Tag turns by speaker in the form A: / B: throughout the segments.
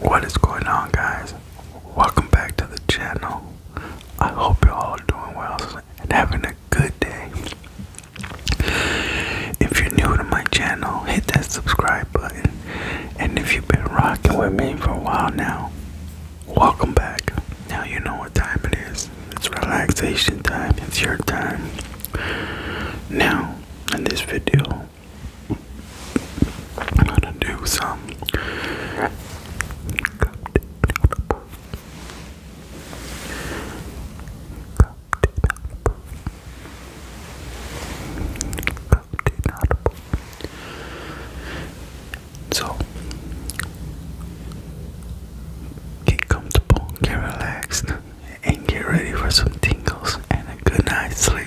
A: What is going on, guys? Welcome back to the channel. I hope you're all doing well and having a good day. If you're new to my channel, hit that subscribe button. And if you've been rocking with me for a while now, welcome back. Now you know what time it is. It's relaxation time. It's your time. Now, in this video, I'm gonna do some so get comfortable, get relaxed, and get ready for some tingles and a good night's sleep.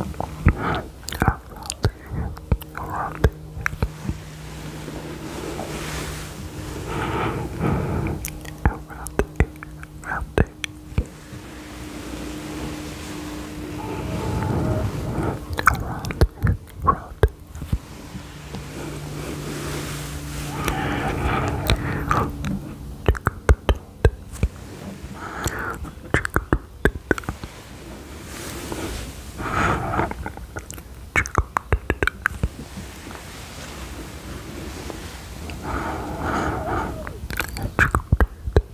A: Around it. Around it. Around it. Round, round. Chick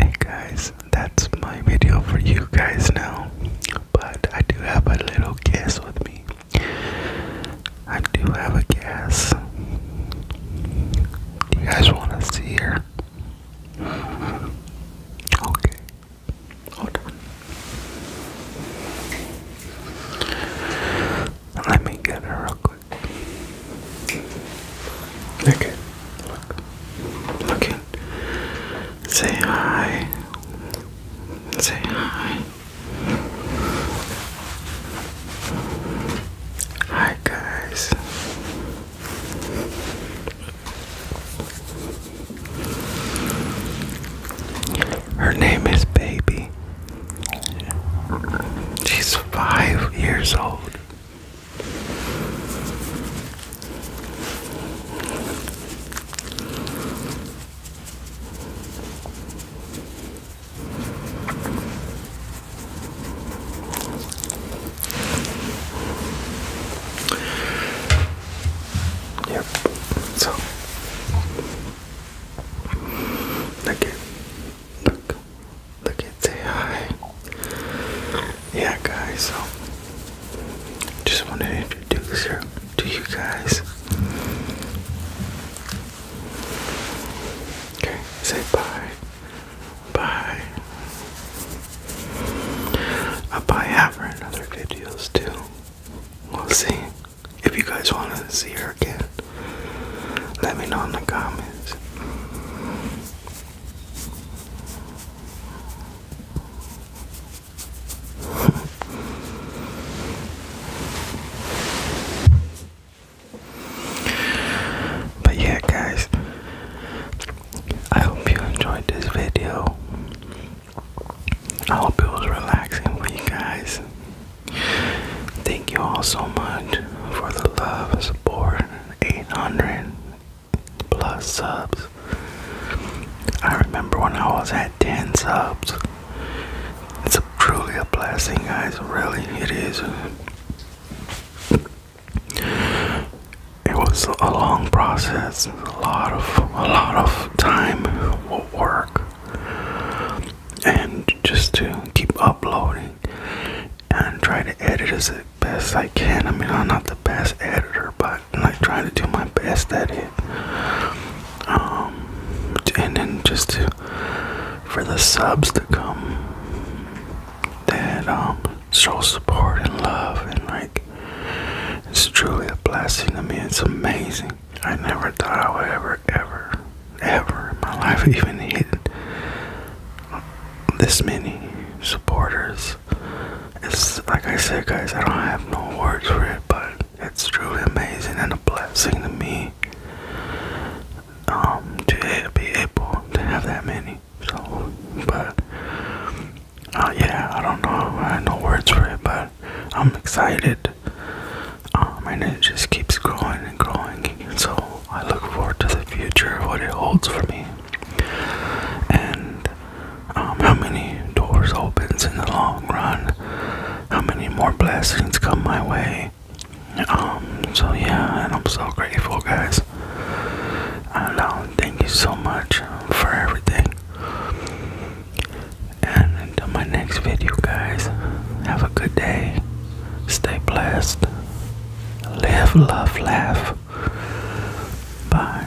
A: Hey guys, that's my video for you guys now. But I do have a little guest with me. I do have a guess. Do you guys want to see her? Okay. Hold on. Let me get her real quick. Look Look. Look Say hi. Say hi. Hi guys. Her name is Baby. She's five years old. Yep. So look it. Look. Look it. Say hi. Yeah guys, so just wanna introduce you to you guys. Okay, say bye. Bye. I'll probably have her another other videos too. We'll see. If you guys want to see her again, let me know in the comments. But yeah, guys, I hope you enjoyed this video. I hope it was relaxing for you guys. Thank you all so much for the love and support. 800 plus subs. I remember when I was at 10 subs. It's truly a blessing, guys. Really, it is. It was a long process, a lot of a lot of time, work, and just to keep uploading and try to edit as best I can. I mean, I'm not the best editor, but I'm like trying to do my best at it um, and then just for the subs to come that um show support and love and like it's truly a blessing to me it's amazing i never thought i would ever ever ever in my life even hit this many supporters it's like i said guys i don't have no words for it but it's truly amazing and a blessing to me um, to be able to have that many. So, but uh, yeah, I don't know. I have no words for it, but I'm excited. Um, and it just keeps growing and growing. So I look forward to the future, what it holds for me. And um, how many doors opens in the long run, how many more blessings come my way. Um, so yeah, and I'm so grateful, guys. I know, um, thank you so much for everything. And until my next video, guys, have a good day. Stay blessed. Live, love, laugh. Bye.